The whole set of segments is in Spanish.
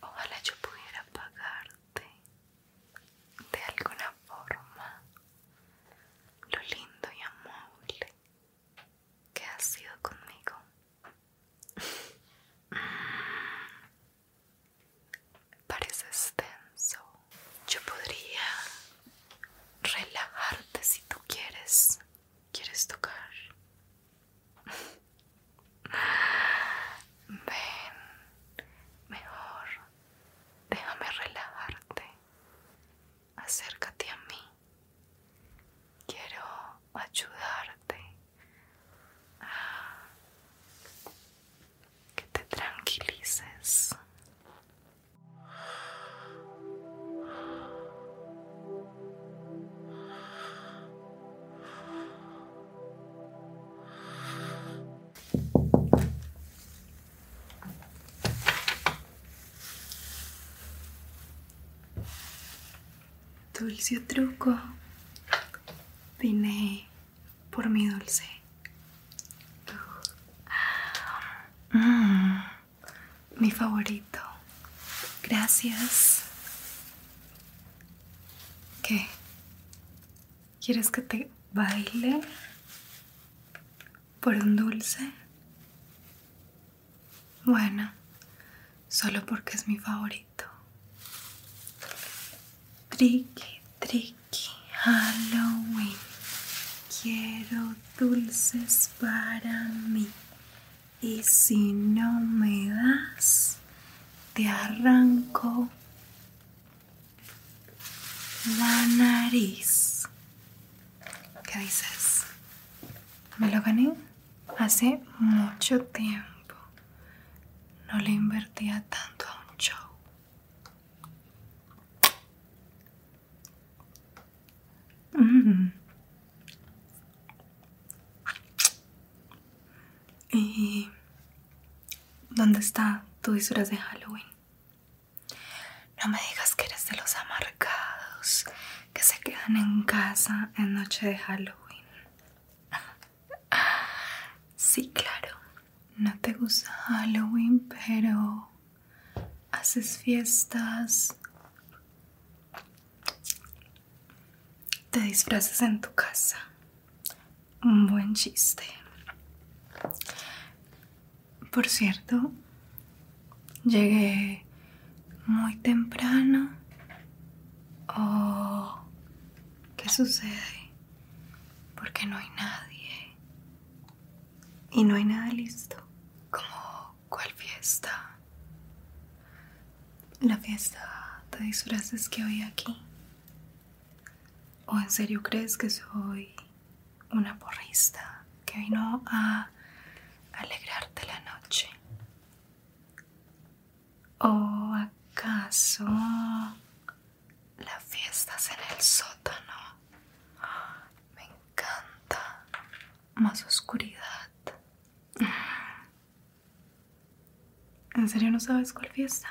Ojalá yo pudiera pagarte de alguna forma lo lindo y amable que has sido conmigo. Mm, Pareces tenso. Yo podría relajarte si tú quieres. ¿Quieres tocar? Ven, mejor, déjame relajarte. Acércate a mí. Quiero ayudarte a que te tranquilices. Dulce truco, vine por mi dulce. Mm, mi favorito. Gracias. ¿Qué? ¿Quieres que te baile por un dulce? Bueno, solo porque es mi favorito. Tricky, tricky, Halloween. Quiero dulces para mí. Y si no me das, te arranco la nariz. ¿Qué dices? Me lo gané hace mucho tiempo. No le invertía tanto a un show. Mm. Y ¿Dónde está tu disfraz de Halloween? No me digas que eres de los amargados que se quedan en casa en noche de Halloween. Sí, claro. No te gusta Halloween, pero haces fiestas. Te disfrazas en tu casa. Un buen chiste. Por cierto, llegué muy temprano. Oh, ¿qué sucede? Porque no hay nadie. Y no hay nada listo. Como, cual fiesta? La fiesta de disfraces que hoy aquí. ¿O en serio crees que soy una porrista que vino a alegrarte la noche? ¿O acaso la fiesta es en el sótano? Me encanta. Más oscuridad. ¿En serio no sabes cuál fiesta?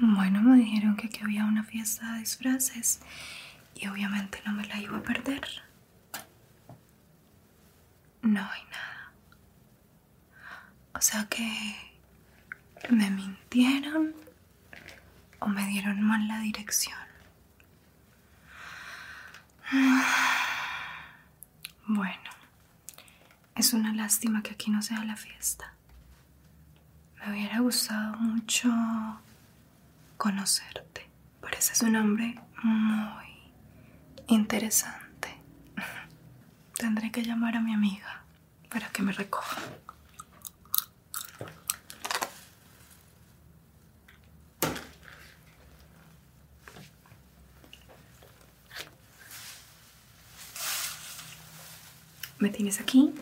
Bueno, me dijeron que aquí había una fiesta de disfraces y obviamente no me la iba a perder. No hay nada. O sea que me mintieron o me dieron mal la dirección. Bueno, es una lástima que aquí no sea la fiesta. Me hubiera gustado mucho conocerte. Pareces un hombre muy interesante. Tendré que llamar a mi amiga para que me recoja. Me tienes aquí.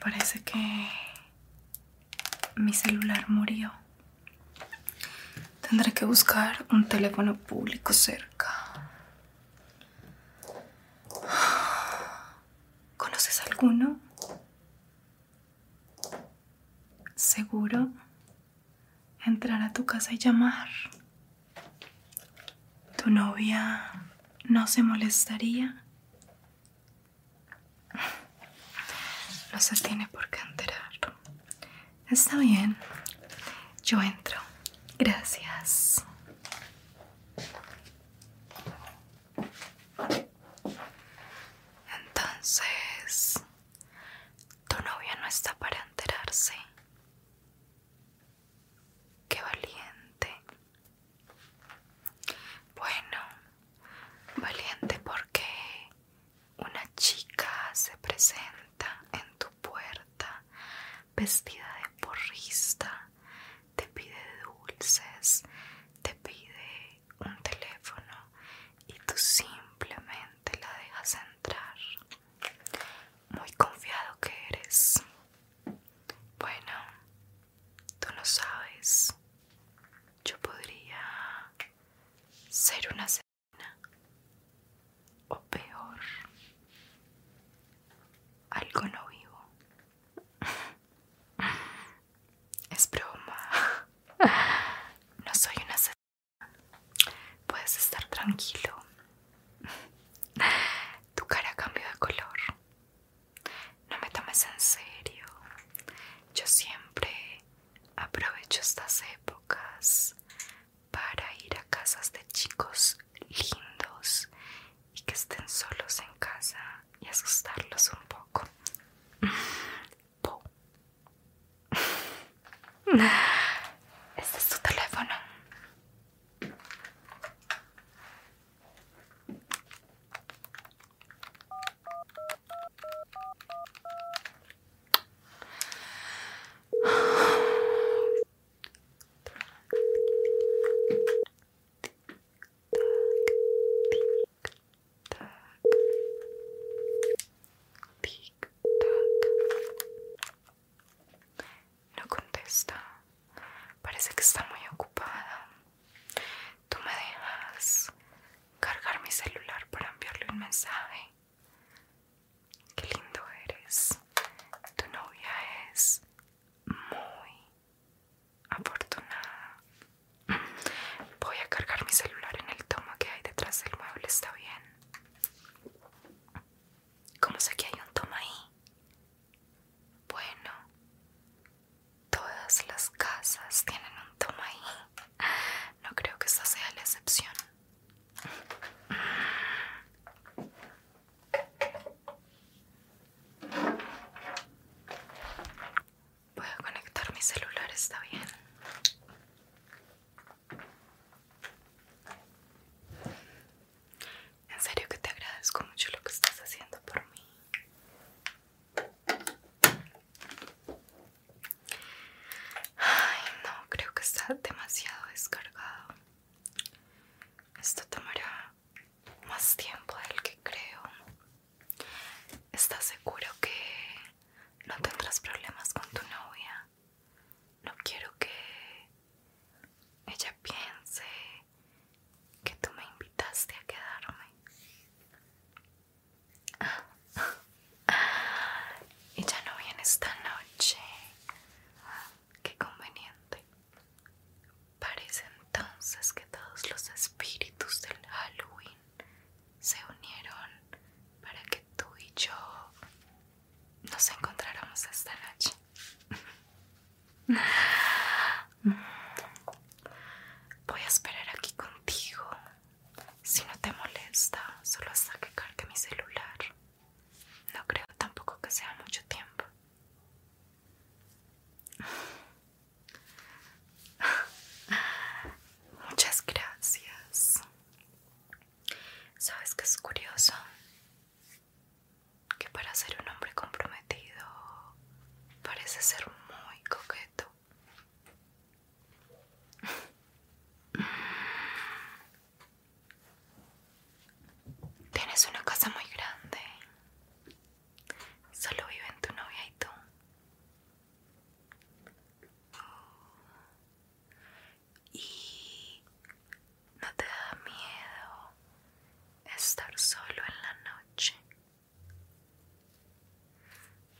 Parece que mi celular murió. Tendré que buscar un teléfono público cerca. ¿Conoces alguno? Seguro entrar a tu casa y llamar. ¿Tu novia no se molestaría? No se tiene por qué enterar. Está bien. Yo entro. Gracias. Entonces, tu novia no está para enterarse. Qué valiente. Bueno, valiente porque una chica se presenta en tu puerta, vestida de porrista, te pide dulces, te pide un teléfono y tú simplemente la dejas entrar. Muy confiado que eres. Bueno, tú lo sabes. Yo podría ser una o peor algo no vivo es broma no soy una asesina puedes estar tranquilo tu cara cambia de color no me tomes en serio yo siempre aprovecho estas épocas para ir a casas de chicos lindos y que estén solos en casa y asustarlos un poco. Este es tu teléfono. No contesta. Parece que está muy ocupada. Tú me dejas cargar mi celular para enviarle un mensaje. Qué lindo eres. Tu novia es muy afortunada. Voy a cargar mi celular en el toma que hay detrás del mueble, ¿está bien? ¿Cómo sé que hay un toma ahí? Bueno, todas las casas tienen un toma ahí. No creo que esta sea la excepción. Voy a conectar mi celular, está bien. En serio que te agradezco mucho lo que estás haciendo por mí. Ay, no, creo que está demasiado descargado. Esto tomará más tiempo del que creo. ¿Estás seguro que no tendrás problemas con tu novia? No quiero que ella piense que tú me invitaste a quedarme. Ella no viene esta noche. Qué conveniente. Parece entonces que todos los espíritus del Halloween se unieron para que tú y yo nos encontráramos esta noche. Voy a esperar aquí contigo. Si no te molesta, solo hasta que cargue mi celular. No creo tampoco que sea mucho tiempo. Muchas gracias. ¿Sabes que es curioso? Que para ser un hombre comprometido parece ser muy coqueto. Tienes una casa muy grande. Solo viven tu novia y tú. Y no te da miedo estar solo en la noche.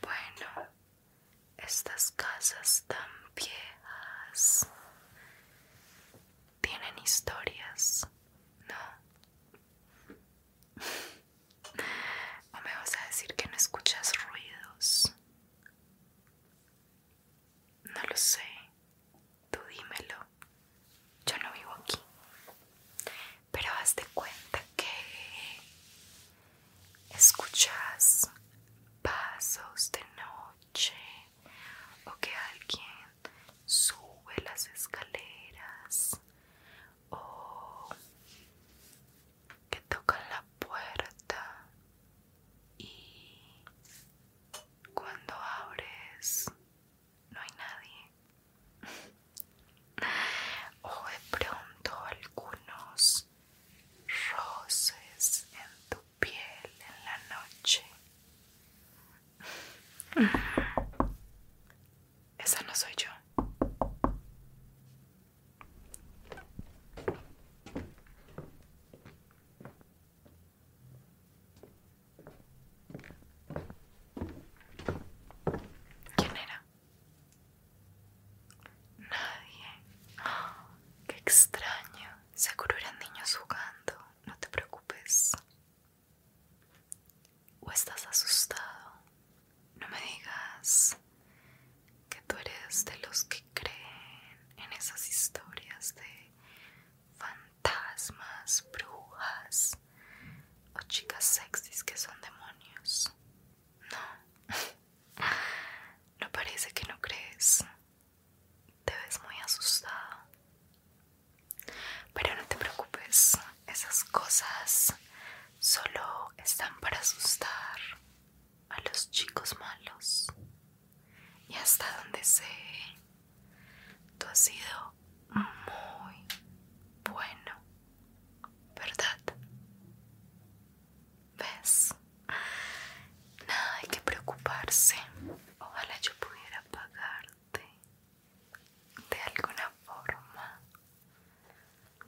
Bueno, estas casas están viejas tienen historias, ¿no? ¿O me vas a decir que no escuchas ruidos? No lo sé, tú dímelo. Yo no vivo aquí. Pero hazte de cuenta que escuchas pasos de noche o que alguien sube las escaleras o que tocan la puerta y cuando abres no hay nadie o de pronto algunos roces en tu piel en la noche. Esa no soy yo. ¿Quién era? Nadie. qué extraño. Seguro eran niños jugando no te preocupes. ¿O estás asustado? No me digas que tú eres de los que creen en esas historias de fantasmas, brujas o chicas sexys que son demonios. No, no parece que no crees. Te ves muy asustada. Pero no te preocupes, esas cosas solo están para asustar a los chicos malos. Y hasta donde sé, tú has sido muy bueno, ¿verdad? ¿Ves? Nada hay que preocuparse. Ojalá yo pudiera pagarte de alguna forma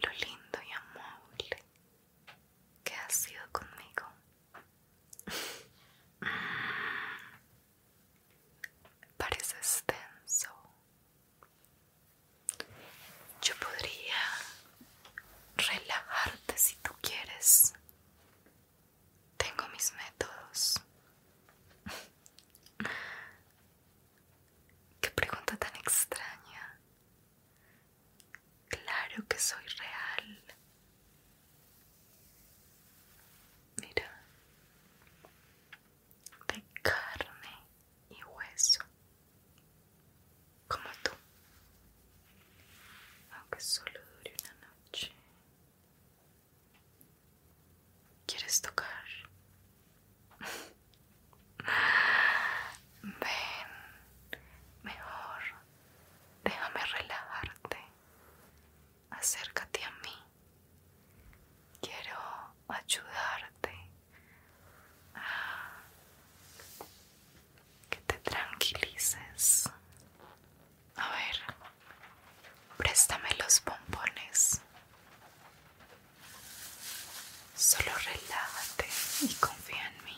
lo lindo y amable que has sido conmigo. Mm, Pareces tenso. Yo podría relajarte si tú quieres. Tengo mis métodos. Qué pregunta tan extraña. Claro que soy real. Mira. De carne y hueso. Como tú. Aunque solo dure una noche. ¿Quieres tocar? Ven, mejor, déjame relajarte. Acércate a mí. Quiero ayudarte a que te tranquilices. A ver, préstame los bombones. Solo relájate y confía en mí.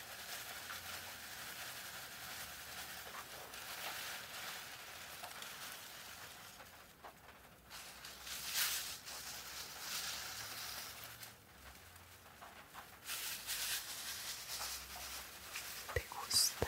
¿Te gusta?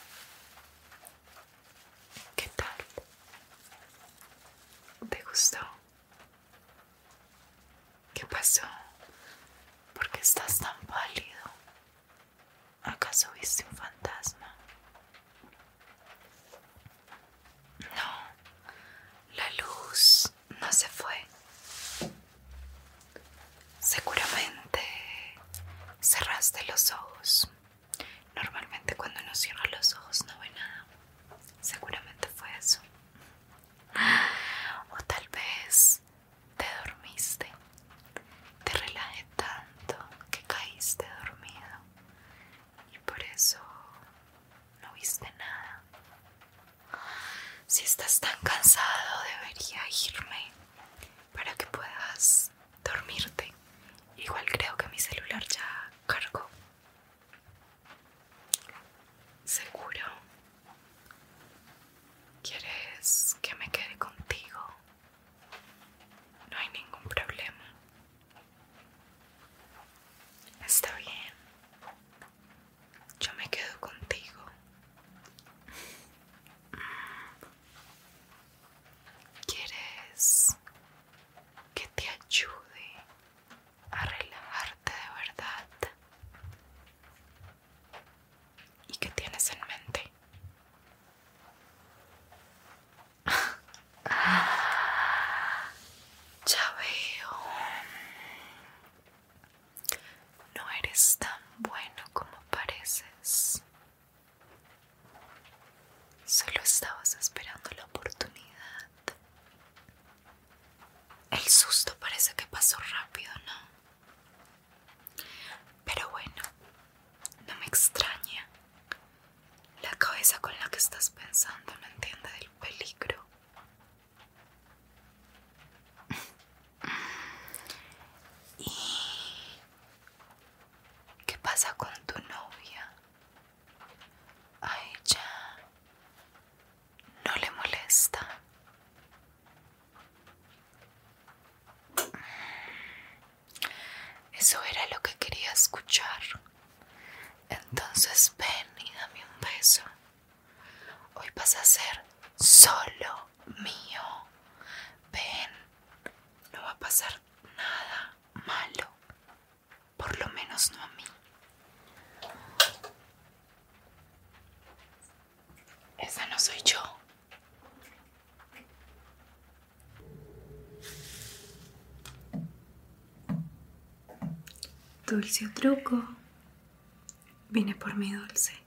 ¿Qué tal? ¿Te gustó? ¿Qué pasó? ¿Por qué estás tan pálido? ¿Acaso viste un fantasma? No, la luz no se fue. Seguramente cerraste los ojos. Normalmente cuando uno cierra los ojos no ve nada. Seguramente fue eso. O tal vez te dormiste. Te relajé tanto que caíste dormido. Y por eso no viste nada. Si estás tan cansado debería irme para que puedas dormirte. Igual creo que mi celular ya cargó. Seguro. ¿Quieres que me quede contigo? No hay ningún problema. Está bien. Yo me quedo contigo. ¿Quieres que te ayude a relajarte de verdad? ¿Y qué tienes en mente? ya veo. No eres tan bueno como pareces. Solo estabas esperando la oportunidad. El susto parece que pasó rápido, ¿no? Pero bueno, no me extraña. La cabeza con la que estás pensando no entiende del peligro. ¿Y qué pasa con tu novia? A ella no le molesta. Eso era lo que quería escuchar. Entonces ven y dame un beso. Hoy vas a ser solo mío, ven, no va a pasar nada malo, por lo menos no a mí. Esa no soy yo. Dulce truco, vine por mi dulce.